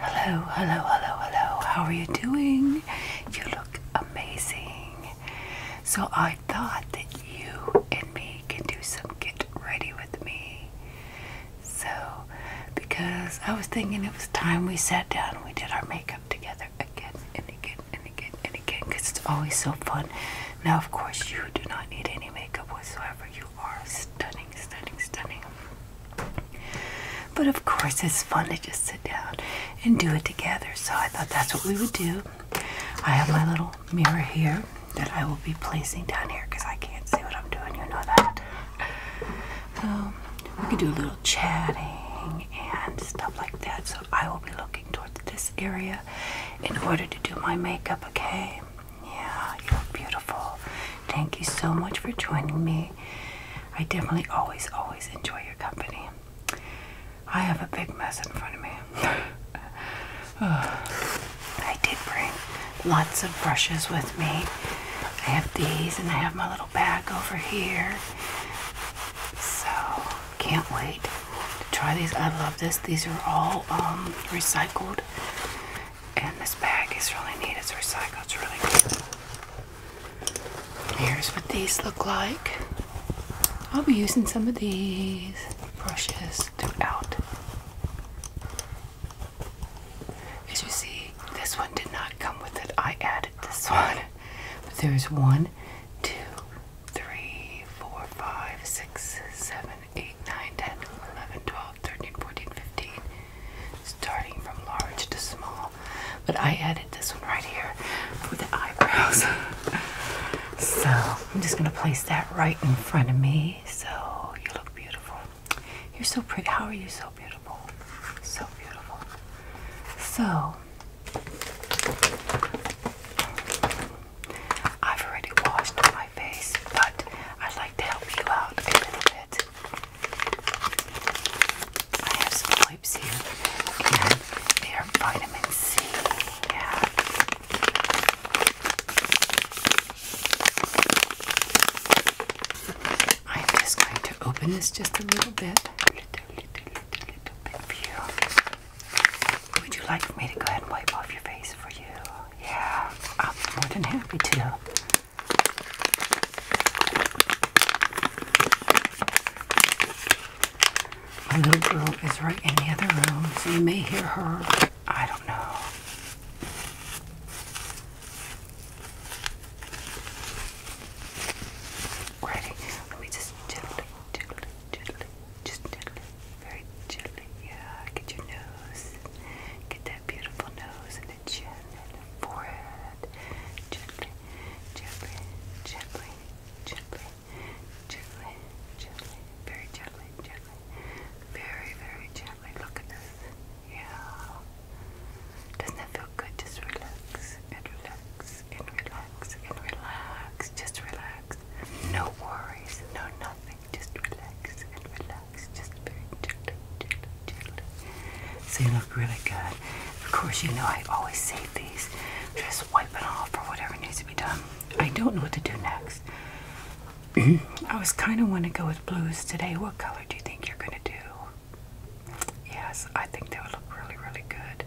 Hello, hello, hello, hello. How are you doing? You look amazing. So I thought that you and me can do some get ready with me. So, because I was thinking it was time we sat down and we did our makeup together again and again and again and again because it's always so fun. Now, of course, you do not need any makeup whatsoever. You are stunning, stunning, stunning. But of course, it's fun to just sit down and do it together. So I thought that's what we would do. I have my little mirror here that I will be placing down here because I can't see what I'm doing. You know that. So um, we can do a little chatting and stuff like that. So I will be looking towards this area in order to do my makeup, okay? Yeah, you're beautiful. Thank you so much for joining me. I definitely always, always enjoy your company. I have a big mess in front of me. I did bring lots of brushes with me. I have these, and I have my little bag over here. So, can't wait to try these. I love this. These are all um, recycled. And this bag is really neat. It's recycled. It's really good. Here's what these look like. I'll be using some of these brushes throughout. As you see, this one did not come with it. I added this one. But there's one, two, 3, 4, 5, 6, 7, 8, 9, 10, 11, 12, 13, 14, 15. Starting from large to small. But I added this one right here for the eyebrows. so I'm just going to place that right in front of me. So you look beautiful. You're so pretty. How are you so beautiful? So beautiful. So I've already washed my face, but I'd like to help you out a little bit. I have some clips here, they are vitamin C. Yeah. I'm just going to open this just a little bit. Would you like me to go ahead and wipe off your face for you? Yeah, I'm more than happy to. My little girl is right in the other room, so you may hear her. I don't know. Ready? Let me just gently gently, gently, just gently, very gently. Yeah, get your nose, get that beautiful nose and the chin and the forehead. Gently, gently, gently, gently, gently, gently, very gently, gently, very, very gently. Look at this. Yeah. Doesn't that feel good? Just relax and relax and relax and relax. Just relax. No worries, no nothing. Just relax and relax. Just very gently, gently, gently. So you look really good. Of course, you know I always save these. Just wipe it off or whatever needs to be done. I don't know what to do next. I was kind of want to go with blues today. What color do you think you're going to do? Yes, I think they would look really, really good.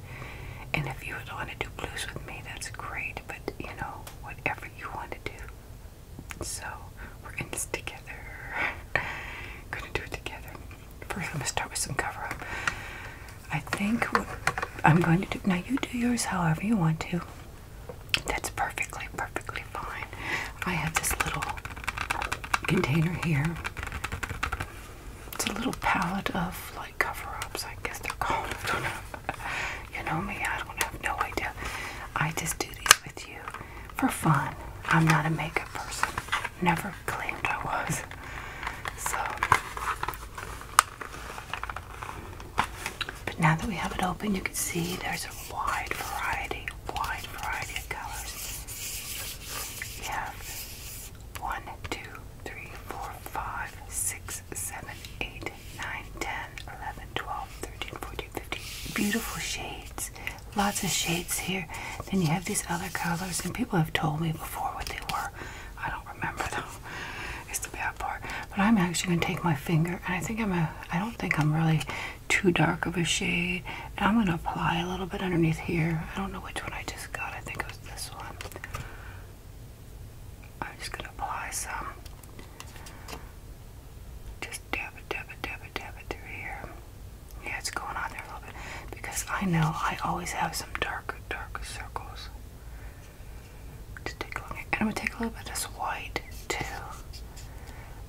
And if you would want to do blues with me, that's great, but you know, whatever you want to do. So, we're in this together. Gonna do it together. First, I'm gonna start with some cover up. I think what I'm going to do now, you do yours however you want to. That's perfectly, perfectly fine. I have this little container here. It's a little palette of like cover-ups, I guess they're called. I don't know. You know me, I don't have no idea. I just do these with you for fun. I'm not a makeup person. Never claimed I was. So but now that we have it open you can see there's a wide variety, wide variety of colors. You have one, two, 3, Beautiful shades. Lots of shades here. Then you have these other colors, and people have told me before what they were. I don't remember though. It's the bad part. But I'm actually going to take my finger, and I think I'm a, I don't think I'm really too dark of a shade. I'm going to apply a little bit underneath here. I don't know which one I just got. I think it this one. I'm just gonna apply some. Just dab it, dab it, dab it, dab it through here. Yeah, it's going on there a little bit because I know I always have some dark, dark circles. Just take and I'm gonna take a little bit of this white too.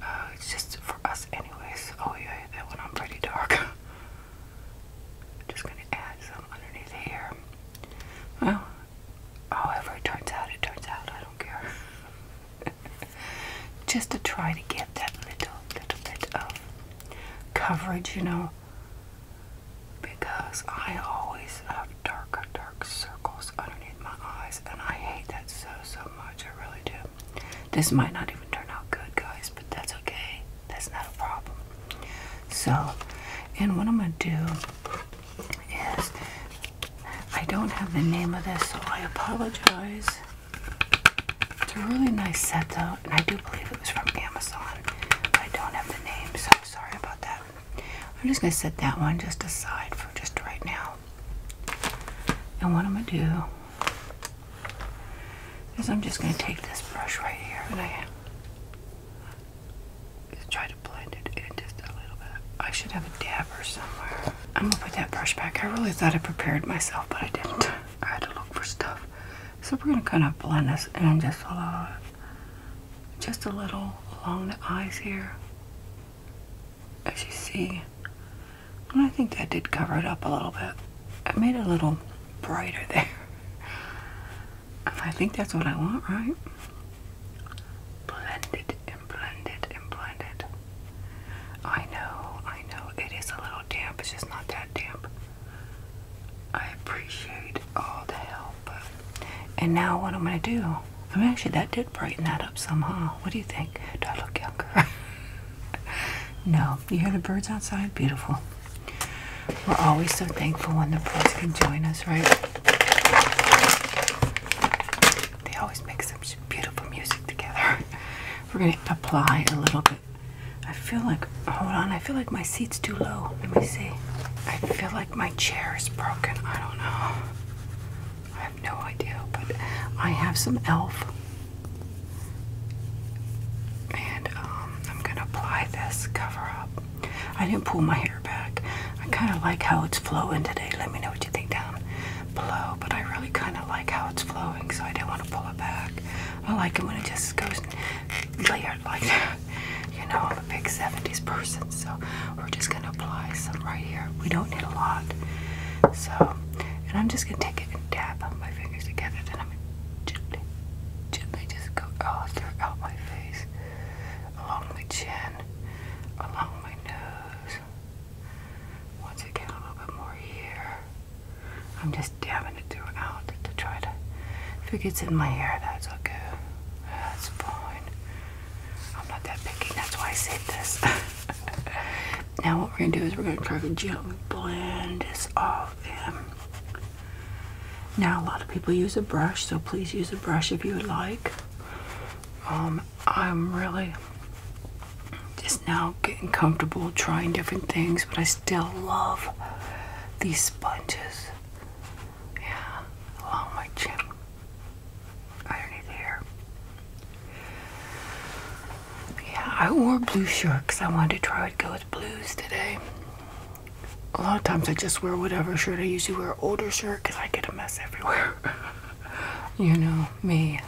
Uh, it's just for us, anyways. Oh yeah, that one i pretty dark. I'm just going to add some underneath here. Well, however it turns out, it turns out. I don't care. just to try to get that little, little bit of coverage, you know, because I always have dark, dark circles underneath my eyes, and I hate that so, so much. I really do. This might not even turn out good, guys, that's okay. That's not a problem. So, and what I'm going to do is, I don't have the name of this, so I apologize. It's a really nice set though, and I do believe it was from Amazon. I don't have the name, so sorry about that. I'm just going to set that one just aside for just right now. And what I'm going to do is I'm just going to take this brush right here and I just try to blend it in just a little bit. I should have a dabber somewhere. I'm gonna put that brush back. I really thought I prepared myself, but I didn't. I had to look for stuff. So we're gonna kind of blend this in just a just a little along the eyes here. As you see, and I think that did cover it up a little bit. I made it a little brighter there. I think that's what I want, right? Blend and blend and blend I know, I know. It is a little damp. It's just not that damp. I appreciate all the help. And now what I'm going to do. I mean, actually, that did brighten that up somehow. What do you think? Do I look younger? no. You hear the birds outside? Beautiful. We're always so thankful when the boys can join us, right? They always make such beautiful music together. We're going to apply a little bit. I feel like, hold on, I feel like my seat's too low. Let me see. I feel like my chair is broken. I don't know. I have no idea, but I have some e.l.f. And um, I'm gonna apply this cover up. I didn't pull my hair back. I kind of like how it's flowing today. Let me know what you think down below. But I really kind of like how it's flowing, so I didn't want to pull it back. I like it when it just goes layered like that. You know, I'm a big 70s person, so we're just gonna apply some right here. We don't need a lot. So, and I'm just gonna take it and dab on my fingers together. Then I'm gonna gently, gently just go all oh, throughout my face, along my chin, along my nose. Once again, a little bit more here. I'm just dabbing it throughout to try to. If it gets in my hair, that's okay. That's fine. I'm not that picky, that's why I said this. now, what we're gonna do is we're gonna try to gently blend this all in. Um, now, a lot of people use a brush, so please use a brush if you would like. Um, I'm really just now getting comfortable trying different things, but I still love these sponges. Yeah, along my chin, underneath here. Yeah, I wore blue shirt I wanted to try to go with blues today a lot of times I just wear whatever shirt. I usually wear older shirt because I get a mess everywhere. you know me.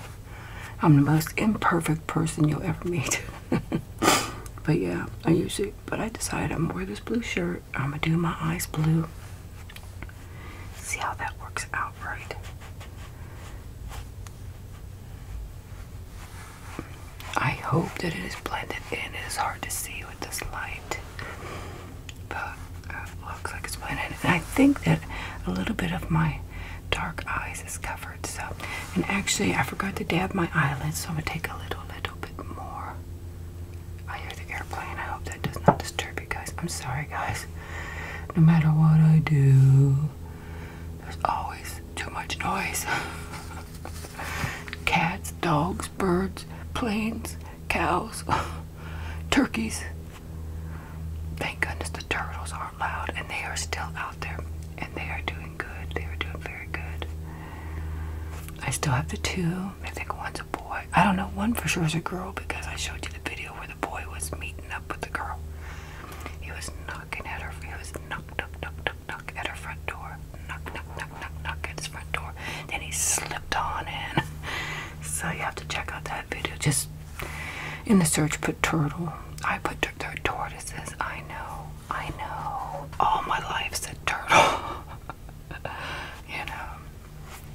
I'm the most imperfect person you'll ever meet. but yeah, I usually, but I decided I'm gonna wear this blue shirt. I'm gonna do my eyes blue. See how that works out right. I hope that it is blended and It is hard to see with this light, but uh, looks like it's blended. And I think that a little bit of my dark eyes is covered. So, and actually, I forgot to dab my eyelids, so I'm gonna take a little, little bit more. I hear the airplane. I hope that does not disturb you guys. I'm sorry, guys. No matter what I do, there's always too much noise. Cats, dogs, birds, planes, cows, turkeys. Thank goodness the turtles aren't loud and they are still out there and they are doing good. They are doing very good. I still have the two. I think one's a boy. I don't know. One for sure is a girl because I showed you the video where the boy was meeting up with the girl. He was knocking at her. He was knocked up, knock, knock knock, at her front door. Knock, knock, knock, knock, knock at his front door. Then he slipped on in. So you have to check out that video. Just in the search, put turtle. I put turtle, tortoises. I know, I know. All my life's a turtle. you know.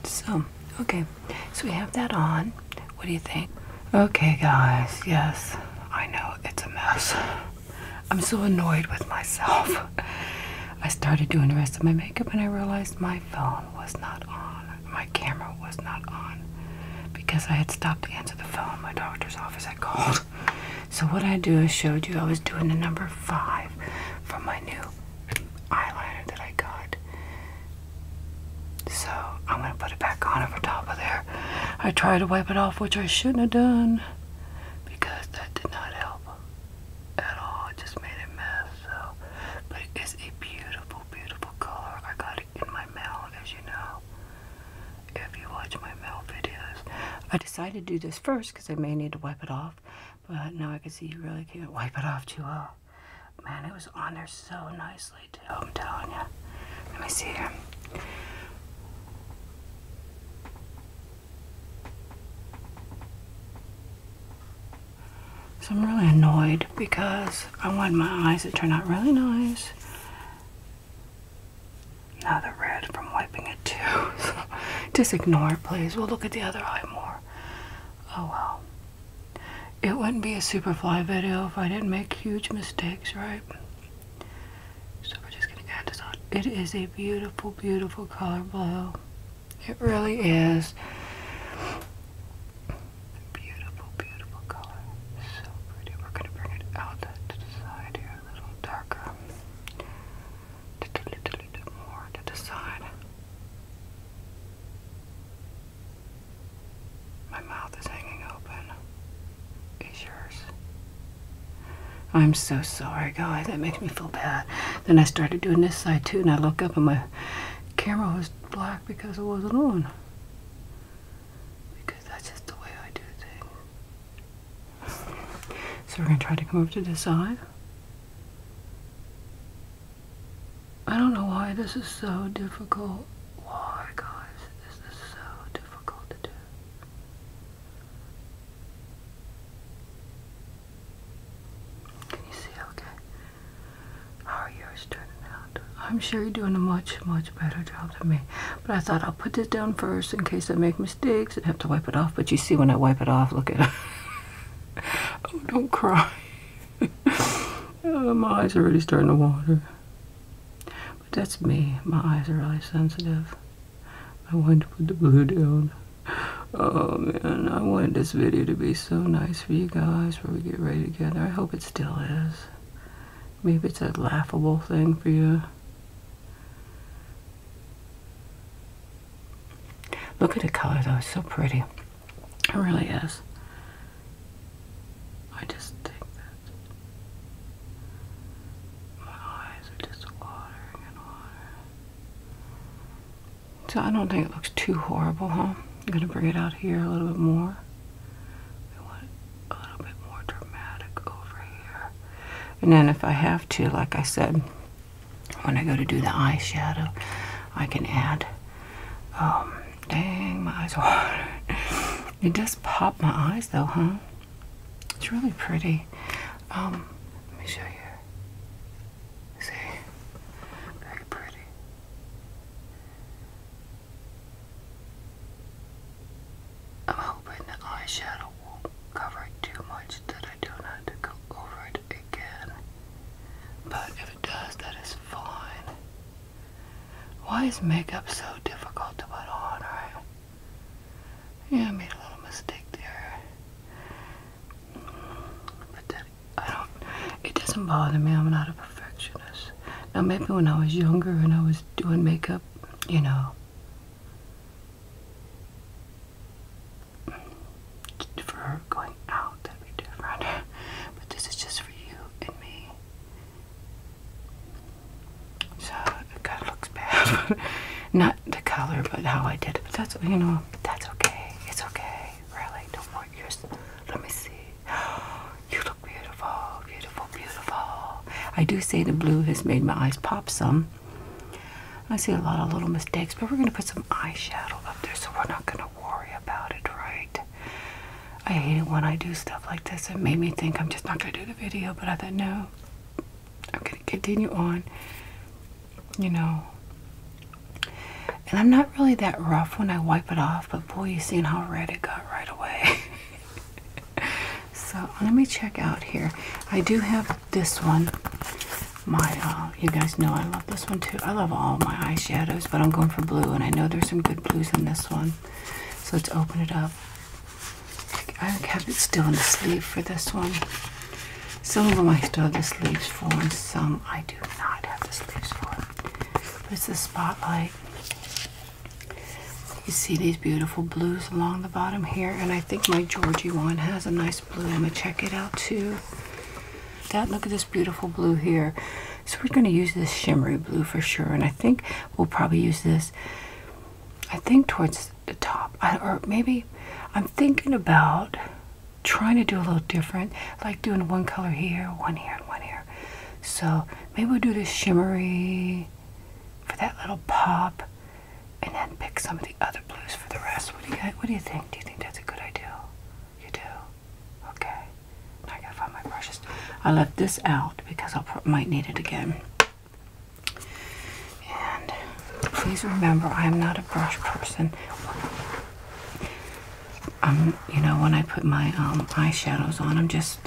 So, okay. So we have that on. What do you think? Okay, guys. Yes, I know it's a mess. I'm so annoyed with myself. I started doing the rest of my makeup and I realized my phone was not on. My camera was not on because I had stopped to answer the phone. My doctor's office I called. So what I do is showed you I was doing the number five from my new eyeliner that I got. So I'm gonna put it back on over top of there. I tried to wipe it off, which I shouldn't have done because that did not help at all. just made a mess. So, but it's a beautiful, beautiful color. I got it in my mail, as you know. If you watch my mail videos, I decided to do this first because I may need to wipe it off. But now I can see you really can't wipe it off too well. Man, it was on there so nicely too. I'm telling you. Let me see here. So I'm really annoyed because I want my eyes to turn out really nice. Now they're red from wiping it too. just ignore it, please. We'll look at the other eye more. Oh well. It wouldn't be a Superfly video if I didn't make huge mistakes, right? So we're just going to add this on. It is a beautiful, beautiful color blue. It really is. Beautiful, beautiful color. So pretty. We're going to bring it out to the side here, a little darker. Just a little bit more to the side. My mouth is hanging open. Is yours? I'm so sorry, guys. That makes me feel bad. Then I started doing this side too, and I look up and my camera was black because it wasn't on. Because that's just the way I do things. So we're going to try to come over to this side. I don't know why this is so difficult. Why, guys, is this so difficult to do? Can you see okay? How are yours turning out? I'm sure you're doing a much, much better job than me. But I thought I'll put this down first in case I make mistakes and have to wipe it off. But you see when I wipe it off, look at it. oh, don't cry. Oh, my eyes are really starting to water that's me. My eyes are really sensitive. I wanted to put the blue down. Oh man, I wanted this video to be so nice for you guys where we get ready together. I hope it still is. Maybe it's a laughable thing for you. Look at the color though, so pretty. It really is. I just think that my eyes are just watering and watering. So I don't think it looks too horrible, huh? I'm gonna bring it out here a little bit more. We want a little bit more dramatic over here. And then if I have to, like I said, when I go to do the eye shadow, I can add, um, dang, my eyes are watering. It does pop my eyes though, huh? It's really pretty. Um, let me show you. See? Very pretty. I'm hoping the eyeshadow won't cover it too much that I don't have to go over it again. But if it does, that is fine. Why is makeup so difficult to put on, right? Yeah, I made a little mistake there. But I don't, it doesn't bother me. I'm not a perfectionist. Now, maybe when I was younger and I was doing makeup, you know, for going out, that'd be different. but this is just for you and me. So it kind of looks bad. Not the color, but how I did it. But that's, you know, that's okay. It's okay. Really, don't want yours. Let me see. You look beautiful, beautiful, beautiful. I do say the blue has made my eyes pop some. I see a lot of little mistakes, but we're going to put some eyeshadow up there, so we're not going to worry about it, right? I hate it when I do stuff like this. It made me think I'm just not going to do the video, but I thought, no, I'm going to continue on, you know. And I'm not really that rough when I wipe it off, but boy, you seen how red it got right away. so let me check out here. I do have this one. My, uh, you guys know I love this one too. I love all my eyeshadows, but I'm going for blue, and I know there's some good blues in this one. So let's open it up. I have it still in the sleeve for this one. Some of them I still have the sleeves for, and some I do not have the sleeves for. But it's the spotlight. You see these beautiful blues along the bottom here, and I think my Georgie one has a nice blue. I'm gonna check it out too. That look at this beautiful blue here. So we're gonna use this shimmery blue for sure, and I think we'll probably use this I think towards the top, or maybe I'm thinking about trying to do a little different, like doing one color here, one here, and one here. So maybe we'll do this shimmery for that little pop, and then pick some of the other blues for the rest. What do you think? Do you think that's a good idea? You do? Okay. Now I gotta find my brushes. I left this out because I might need it again. And please remember, I'm not a brush person. Um, you know, when I put my um, eyeshadows on, I'm just,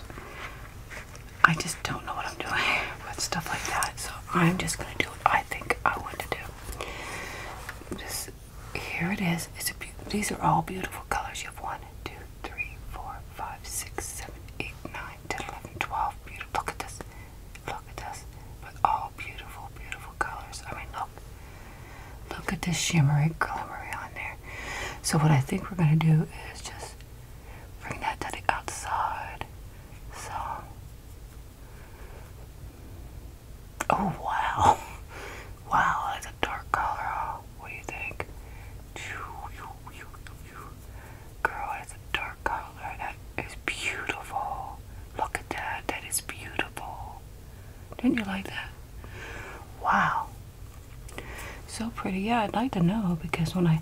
I just don't know what I'm doing with stuff like that. So I'm just going to do what I think I want to do. Just here it is. It's a, these are all beautiful colors. You have wanted to three, four, five, six, seven, eight, nine, ten, eleven, twelve. Beautiful. Look at this. Look at this. But all beautiful, beautiful colors. I mean, look. Look at this shimmery, glimmery on there. So what I think we're going to do is just bring that to the outside. So. Oh, wow. Wow, that's a dark color. What do you think? Girl, it's a dark color. That is beautiful. Look at that. That is beautiful. Didn't you like that? Wow. So pretty. Yeah, I'd like to know because when I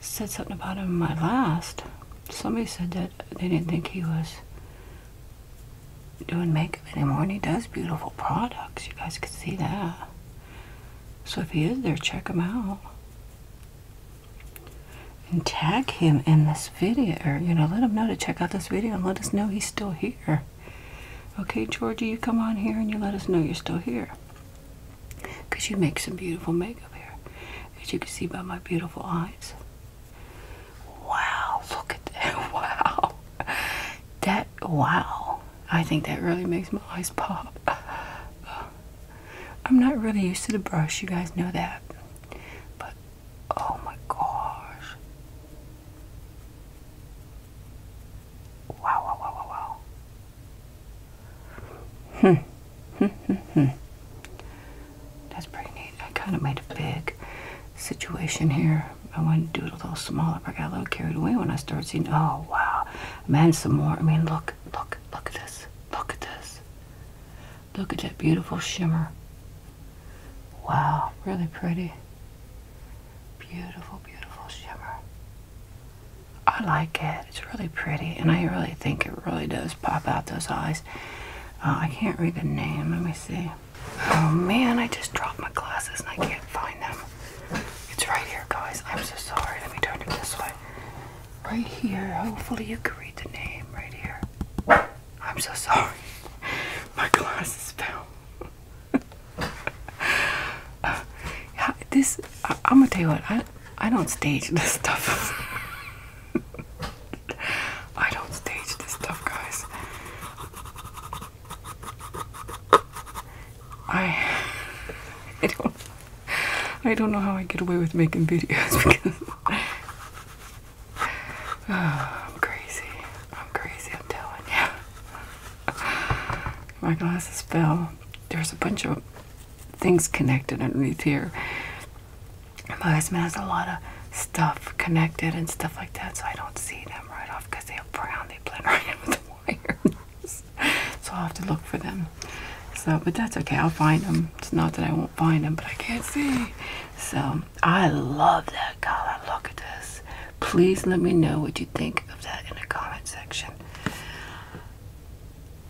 said something about him in my last, somebody said that they didn't think he was doing makeup anymore and he does beautiful products. You guys could see that. So if he is there, check him out. And tag him in this video, or, you know, let him know to check out this video and let us know he's still here. Okay, Georgie, you come on here and you let us know you're still here. Because you make some beautiful makeup here. As you can see by my beautiful eyes. Wow, look at that. Wow. That, wow. I think that really makes my eyes pop. I'm not really used to the brush, you guys know that. But oh my gosh. Wow, wow, wow, wow, hmm. hmm, hmm, hmm. That's pretty neat. I kind of made a big situation here. I wanted to do it a little smaller, but I got a little carried away when I started seeing. Oh, wow. Man, some more. I mean, look. Look, look, at this. Look at this. Look at that beautiful shimmer. Wow, really pretty. Beautiful, beautiful shimmer. I like it. It's really pretty, and I really think it really does pop out those eyes. Uh, I can't read the name. Let me see. Oh man, I just dropped my glasses and I can't find them. It's right here, guys. I'm so sorry. Let me turn it this way right here. Hopefully you can read the name right here. I'm so sorry. My glasses fell. uh, this I, am gonna tell you what. I I don't stage this stuff. I don't stage this stuff, guys. I I don't. I don't know how I get away with making videos because I'm crazy. I'm crazy, I'm telling you. My glasses fell. There's a bunch of things connected underneath here. My husband has a lot of stuff connected and stuff like that, so I don't see them right off because they are brown. They blend right in with the wires. So I'll have to look for them. So, but that's okay. I'll find them. It's not that I won't find them, but I can't see. So I love that color. Look at this. Please let me know what you think of that in the comment section.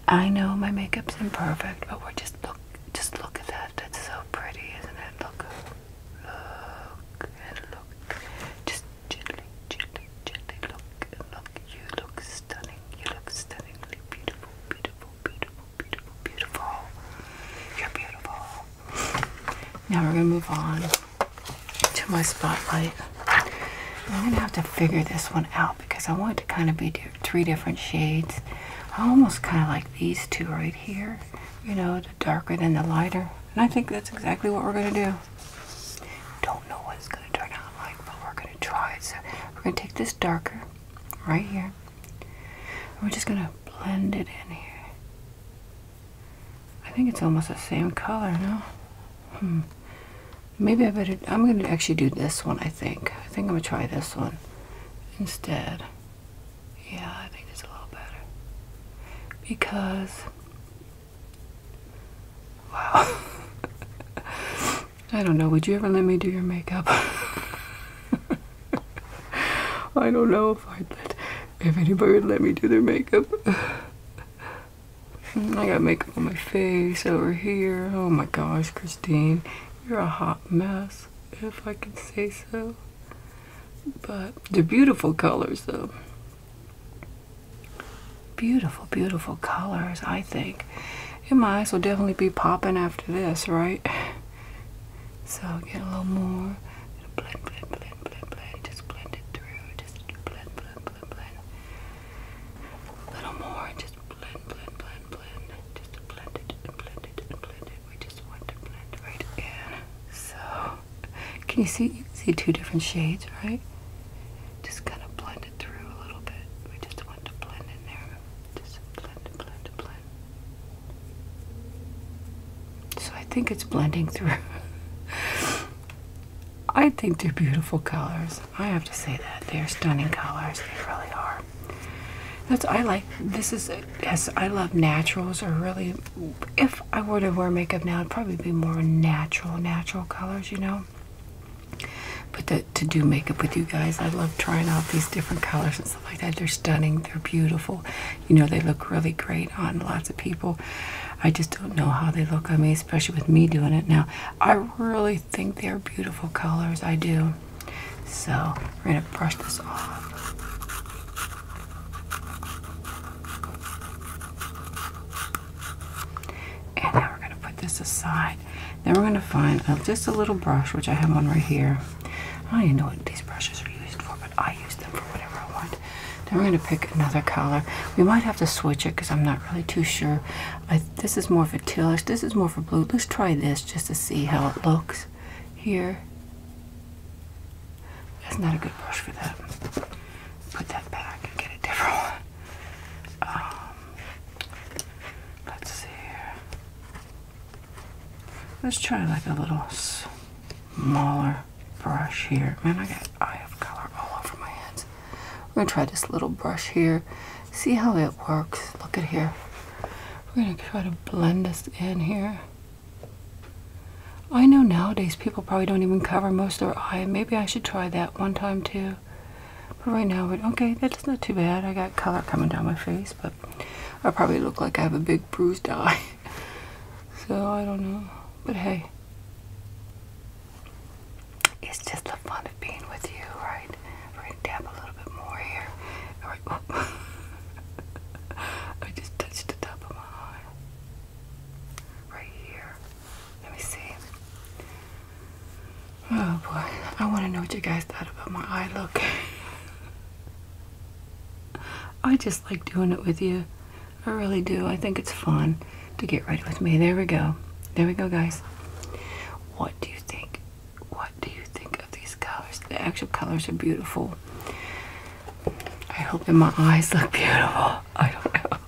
I know my makeup's imperfect, but we're just look just look at that. That's so pretty, isn't it? Look, look, and look. Just gently, gently, gently look, look, you look stunning, you look stunningly beautiful, beautiful, beautiful, beautiful, beautiful. You're beautiful. Now we're gonna move on to my spotlight. I'm gonna have to figure this one out because I want it to kind of be three different shades. I almost kind of like these two right here, you know, the darker than the lighter. And I think that's exactly what we're gonna do do. not know what it's going to turn out like, but we're going to try it. So we're going to take this darker right here. And we're just going to blend it in here. I think it's almost the same color, no? Hmm. Maybe I better, I'm going to actually do this one, I think. I think I'm going to try this one instead. Yeah, I think it's a little better. Because Wow. I don't know. Would you ever let me do your makeup? I don't know if I'd let if anybody would let me do their makeup. I got makeup on my face over here. Oh my gosh, Christine, you're a hot mess, if I can say so. But they're beautiful colors, though. Beautiful, beautiful colors, I think. It might as well definitely be popping after this, right? So get a little more. Blend, blend, blend, blend, blend. Just blend it through. Just blend, blend, blend, blend. A little more. Just blend, blend, blend, blend. Just blend it and blend it and blend it. We just want to blend right in. So, can you see? You see two different shades, right? just kind of blend it through a little bit. We just want to blend in there. Just blend, blend, blend. So I think it's blending through. I think they're beautiful colors. I have to say that. They're stunning colors. They really are. That's I like this is yes, I love naturals or really if I were to wear makeup now i would probably be more natural natural colors, you know but to, do makeup with you guys. I love trying out these different colors and stuff like that. They're stunning. They're beautiful. You know, they look really great on lots of people. I just don't know how they look on me, especially with me doing it now. I really think they're beautiful colors. I do. So, we're going to brush this off. And now we're going to put this aside. Then we're going to find uh, just a little brush, which I have on right here. I don't know what these brushes are used for, but I use them for whatever I want. Then we're going to pick another color. We might have to switch it because I'm not really too sure. this is more for tealish. This is more for blue. Let's try this just to see how it looks here. That's not a good brush for that. Put that back and get a different one. Um, let's see Let's try like a little smaller brush here. Man, I got eye of color all over my hands. We're gonna try this little brush here. See how it works. Look at here. We're gonna try to blend this in here. I know nowadays people probably don't even cover most of their eye. Maybe I should try that one time too but right now but okay that's not too bad i got color coming down my face but i probably look like i have a big bruised eye so i don't know but hey it's just the fun of being with you right we're gonna dab a little bit more here all right oh. i just touched the top of my eye right here let me see. Oh boy, I want to know what you guys thought about my eye look. I just like doing it with you. I really do. I think it's fun to get ready with me. There we go. There we go, guys. What do you think? What do you think of these colors? The actual colors are beautiful. I hope that my eyes look beautiful. I don't know.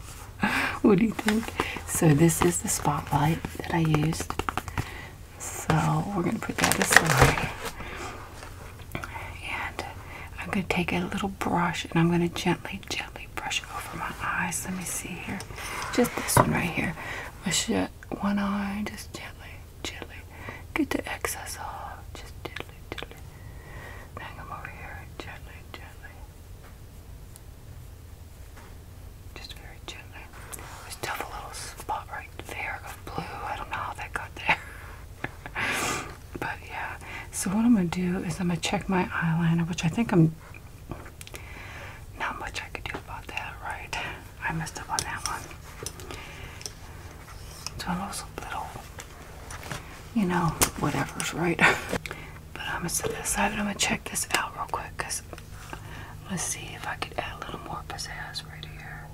what do you think? So this is the spotlight that I used. So we're gonna put that aside. And I'm gonna take a little brush and I'm gonna gently, gently brush over my eyes. Let me see here. Just this one right here. I one eye, just gently, gently. Get the excess off. Just gently, gently. Then over here, gently, gently. Just very gentle. There's still a little spot right there of blue. I don't know how that got there. but yeah. So what I'm gonna do is I'm gonna check my eyeliner, which I think I'm not much I could do about that, right? I messed up on that one. So a little, you know, whatever's right. But I'm gonna set that aside and I'm gonna check this out real quick because let's see if I could add a little more pizzazz right here.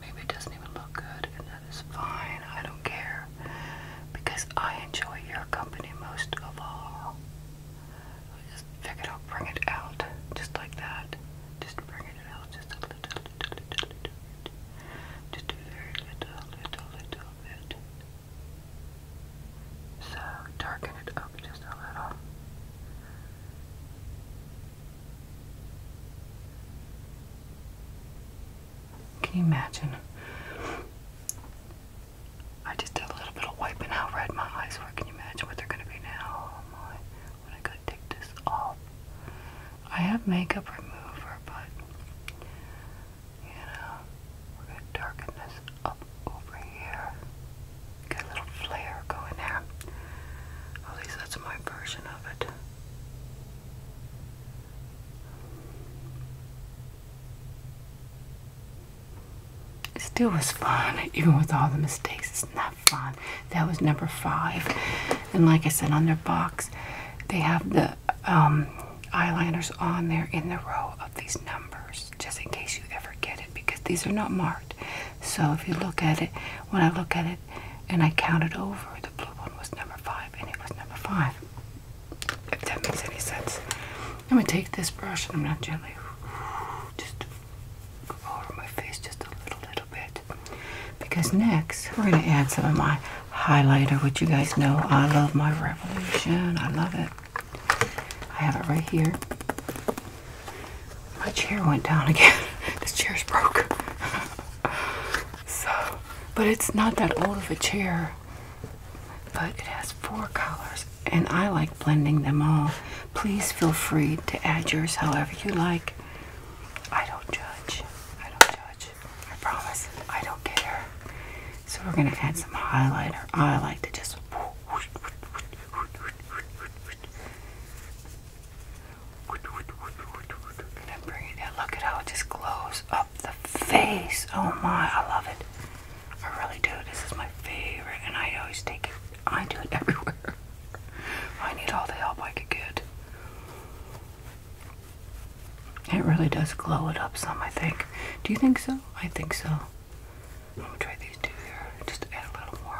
Maybe it doesn't even look good, and that is fine. I don't care because I enjoy your company most of all. just figured I'll bring it out just like that. Just bring it out just a little, just very little, little, little. So darken it up just a little. Can you imagine? I just did a little bit of wiping out red my eyes were. Can you imagine what they're going to be now? Oh, when I gotta take this off. I have makeup remover, but you know, we're going to darken this up over here. Get a little flare going there. At least that's my version of it. still was fun, even with all the mistakes. It's not fun. That was number five. And like I said, on their box, they have the um, eyeliners on there in the row of these numbers just in case you ever get it because these are not marked so if you look at it when i look at it and i count it over the blue one was number five and it was number five if that makes any sense i'm going to take this brush and i'm going to gently just over my face just a little little bit because next we're going to add some of my highlighter, which you guys know I love my Revolution. I love it. I have it right here. My chair went down again. this chair's broke. so, but it's not that old of a chair. But it has four colors, and I like blending them all. Please feel free to add yours however you like. I don't judge. I don't judge. I promise. I don't care. So we're gonna add some highlighter. I like to just gonna bring it in. Look at how it just glows up the face. Oh my, I love it. I really do. This is my favorite, and I always take it. I do it everywhere. I need all the help I can get. It really does glow it up some, I think. Do you think so? I think so. I'm try these two here. Just add a little more.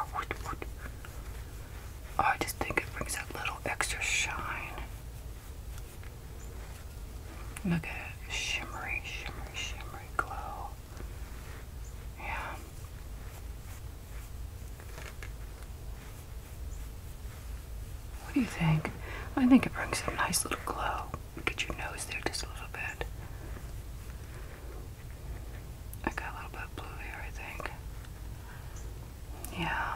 Oh, I just think it brings that little extra shine. Look at it. Shimmery, shimmery, shimmery glow. Yeah. What do you think? I think it brings a nice little glow. Get your nose there just a little bit. I got a little bit blue there, I think. Yeah,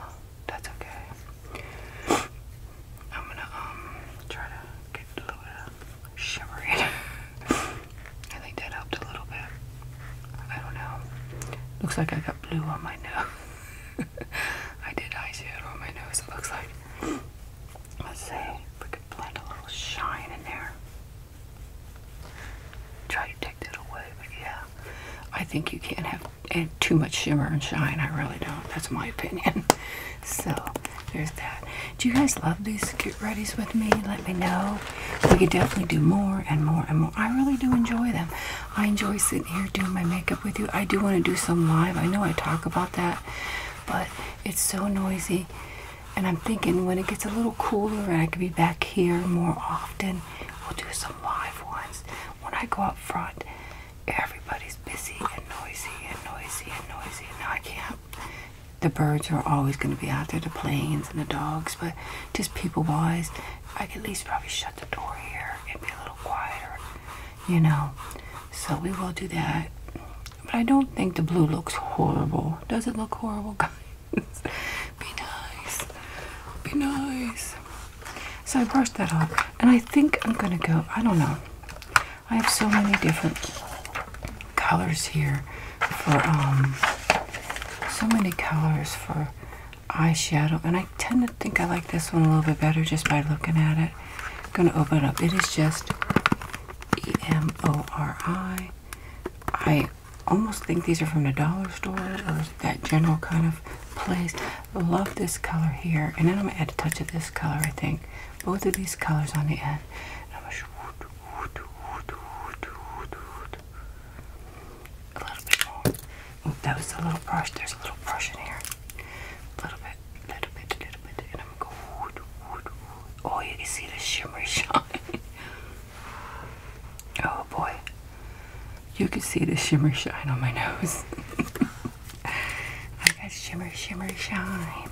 that's okay. I'm gonna um try to get a little bit of shimmer in. I think that helped a little bit. I don't know. Looks like I got blue on my nose. I did ice eyeshadow on my nose, it looks like. Let's see if we could blend a little shine in there. Try to take that away, but yeah. I think you can't have too much shimmer and shine. I really don't. That's my opinion. So, there's that. Do you guys love these get readies with me? Let me know. We could definitely do more and more and more. I really do enjoy them. I enjoy sitting here doing my makeup with you. I do want to do some live. I know I talk about that, but it's so noisy. And I'm thinking when it gets a little cooler and I can be back here more often, we'll do some live ones. When I go up front, everybody's busy and noisy and noisy and noisy. And I can't. The birds are always going to be out there, the planes and the dogs, but just people wise, I could at least probably shut the door here and be a little quieter you know. So we will do that. But I don't think the blue looks horrible. Does it look horrible, guys? Be nice. Be nice. So I brushed that off. And I think I'm going to go, I don't know. I have so many different colors here for, um, so many colors for eyeshadow. And I tend to. I think I like this one a little bit better just by looking at it. I'm going to open it up. It is just E-M-O-R-I. I almost think these are from the dollar store or that general kind of place. Love this color here. And then I'm going to add a touch of this color, I think. Both of these colors on the end. A little bit more. Oh, that was a little brush. There's a little brush in here. A little bit, a little bit, a little bit. And I'm going Oh, you can see the shimmer shine. oh boy. You can see the shimmer shine on my nose. I got shimmer, shimmer, shine.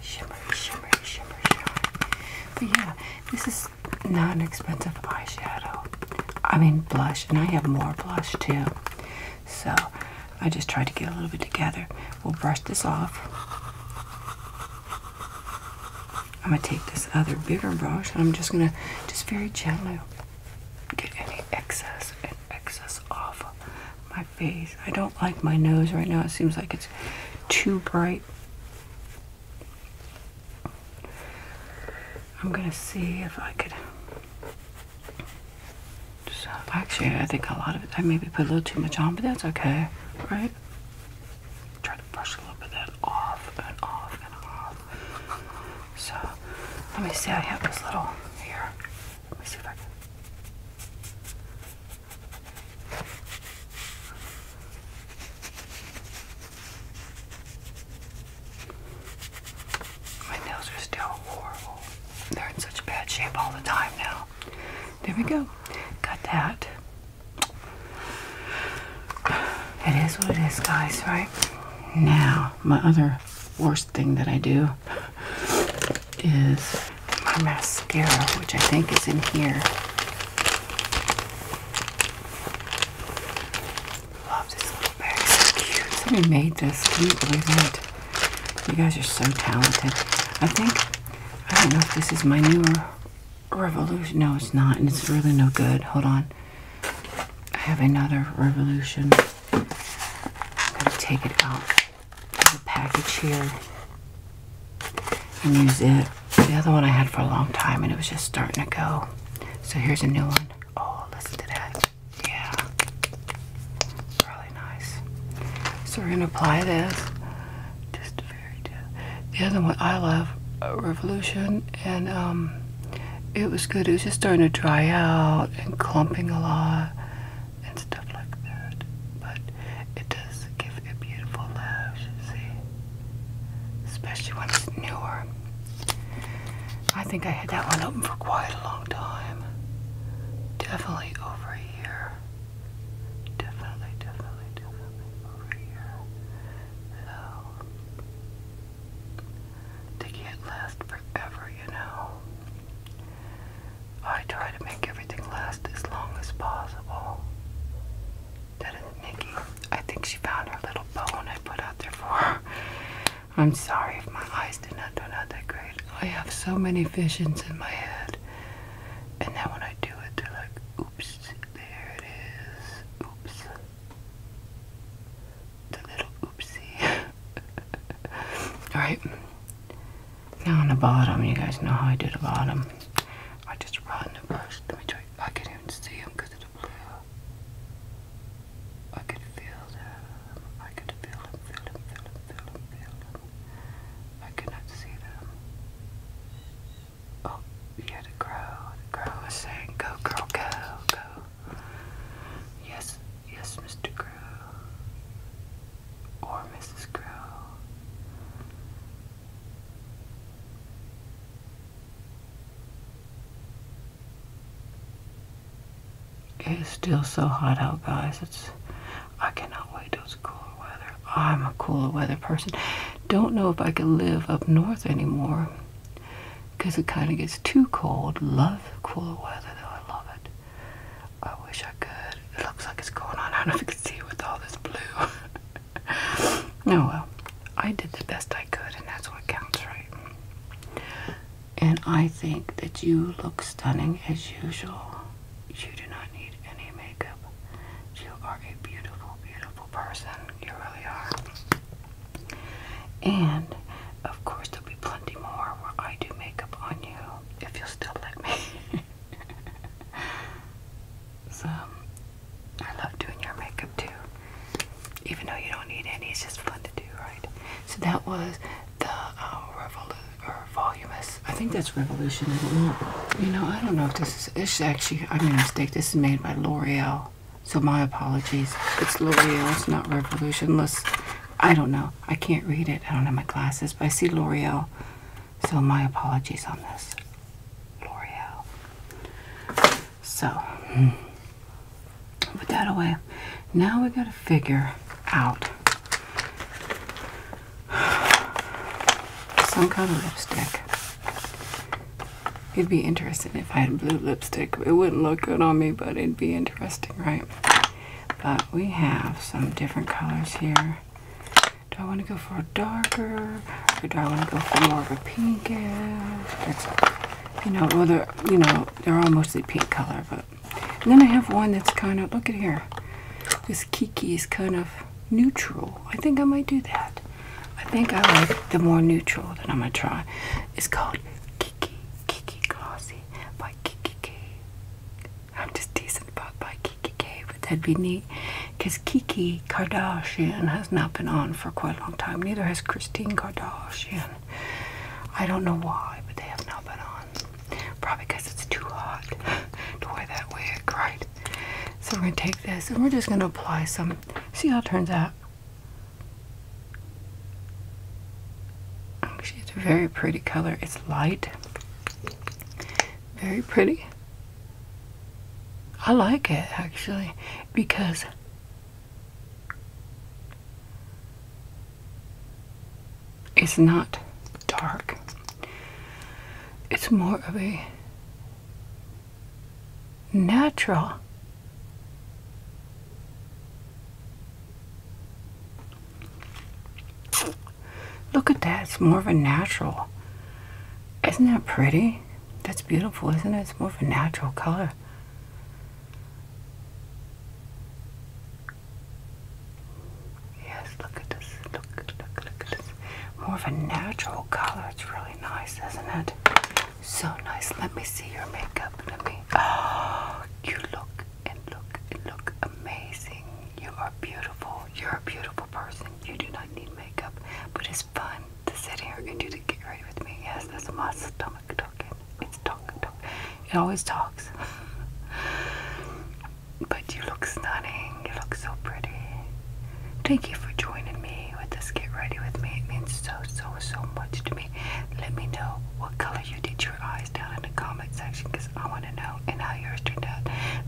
Shimmer, shimmer, shimmer, shine. But yeah, this is not an expensive eyeshadow. I mean blush, and I have more blush too. So I just tried to get a little bit together. We'll brush this off. I'm going to take this other bigger brush I'm just going to just very gently get any excess and excess off my face. I don't like my nose right now. It seems like it's too bright. I'm going to see if I could actually, I think a lot of it, I maybe put a little too much on, but that's okay, right? Try to brush a little bit of that off and off and off. So let me see. I have this little here. Let me see if I can. My nails are still horrible. They're in such bad shape all the time now. There we go. Cut that. It is what it is, guys, right? Now, my other worst thing that I do is my mascara, which I think is in here. Love this little bag. It's cute. Somebody made this. Can you believe it. You guys are so talented. I think, I don't know if this is my newer Revolution. No, it's not. And it's really no good. Hold on. I have another Revolution. I'm going to take it out of the package here and use it. The other one I had for a long time and it was just starting to go. So here's a new one. Oh, listen to that. Yeah. Really nice. So we're going to apply this. Just very good. The other one I love, uh, Revolution, and um, it was good. It was just starting to dry out and clumping a lot and stuff like that. But it does give a beautiful lash, see? Especially when it's newer. I think I had that one open for quite a long time. Definitely over a year. Definitely, definitely, definitely over a year. So, they can last forever, you know. I try to make everything last as long as possible. That is Nikki. I think she found her little bone I put out there for her. I'm sorry if my eyes did not turn out that great. I have so many visions in my head, and then when I do it, they're like, oops, there it is. Oops. The little oopsie. Alright. Now on the bottom, you guys know how I do the bottom. I just run the brush. Let me try. I can't even see them because of the blue. I can feel them. I can feel them, feel them, feel them, feel them, feel them. I could not see them. Oh, you yeah, the crow. The crow was saying, go, girl, go, go. Yes, yes, Mr. Crow. Or Mrs. Crow. It's still so hot out, guys. It's I cannot wait till it's cooler weather. I'm a cooler weather person. Don't know if I could live up north anymore because it kind of gets too cold. Love cooler weather though. I love it. I wish I could. It looks like it's going on. I don't know if you can see it with all this blue. No, oh, well, I did the best I could, and that's what counts, right? And I think that you look stunning as usual. You do not need any makeup. You are a beautiful, beautiful person. You really are. And of course, there'll be plenty more where I do makeup on you if you'll still let me. so, I love doing your makeup too. Even though you don't need any, it's just fun to do, right? So that was the uh, I think that's Revolution. You know, I don't know if this is. It's actually. I made a mistake. This is made by L'Oreal. So my apologies. It's L'Oreal. It's not Revolutionless. I don't know. I can't read it. I don't have my glasses, but I see L'Oreal. So my apologies on this. L'Oreal. So. Hmm. Put that away. Now we gotta figure out some kind of lipstick. It'd be interesting if I had blue lipstick. It wouldn't look good on me, but it'd be interesting, right? But we have some different colors here. Do I want to go for a darker? Or do I want to go for more of a pinkish? you know, well, they're, you know, they're all mostly pink color, but. then I have one that's kind of, look at here. This Kiki is kind of neutral. I think I might do that. I think I like the more neutral that I'm going to try. It's called Kiki, Kiki Glossy by Kiki K. I'm just decent about by Kiki K, but that'd be neat. Because Kiki Kardashian has not been on for quite a long time. Neither has Christine Kardashian. I don't know why, but they have not been on. Probably because it's too hot to wear that wig, right? So we're going to take this and we're just going to apply some. See how it turns out. Actually, it's a very pretty color. It's light. Very pretty. I like it actually because it's not dark. It's more of a natural Look at that. It's more of a natural. Isn't that pretty? That's beautiful, isn't it? It's more of a natural color. Yes, look at this. Look, look, look at this. More of a natural color. It's really nice, isn't it? So nice. Let me see your makeup. Let me. Oh, you look and look and look amazing. You are beautiful. You're a beautiful person. You do not need makeup, but it's fun to sit here and do the get ready with me. Yes, that's my stomach talking talk, talk. It always talks. but you look stunning. You look so pretty. Thank you for joining me with this Get Ready With Me. It means so, so, so much to me. Let me know what color you did your eyes down in the comment section because I want to know and how yours turned out.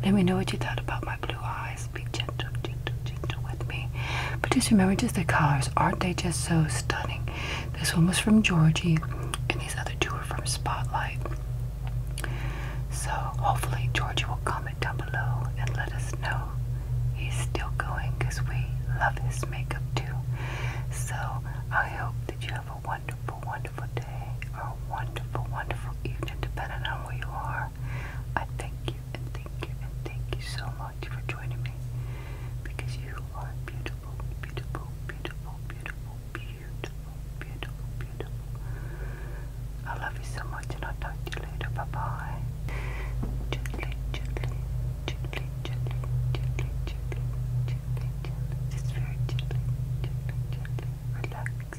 Let me know what you thought about my blue eyes. Be gentle, gentle, gentle with me. But just remember just the colors. Aren't they just so stunning? This one was from Georgie, and these other two are from Spotlight. So hopefully Georgie will comment down below and let us know he's still going because we love his makeup too. So I hope that you have a wonderful, wonderful day or a wonderful, wonderful evening depending on where you are. I thank you and thank you and thank you so much for joining me because you are beautiful beautiful, beautiful, beautiful, beautiful, beautiful, beautiful, beautiful. I love you so much and I'll talk to you later. Bye Gently, gently, gently, gently, gently, gently, gently, gently. Just very gently, gently, gently. Relax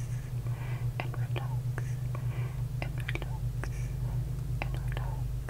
and relax and relax and relax.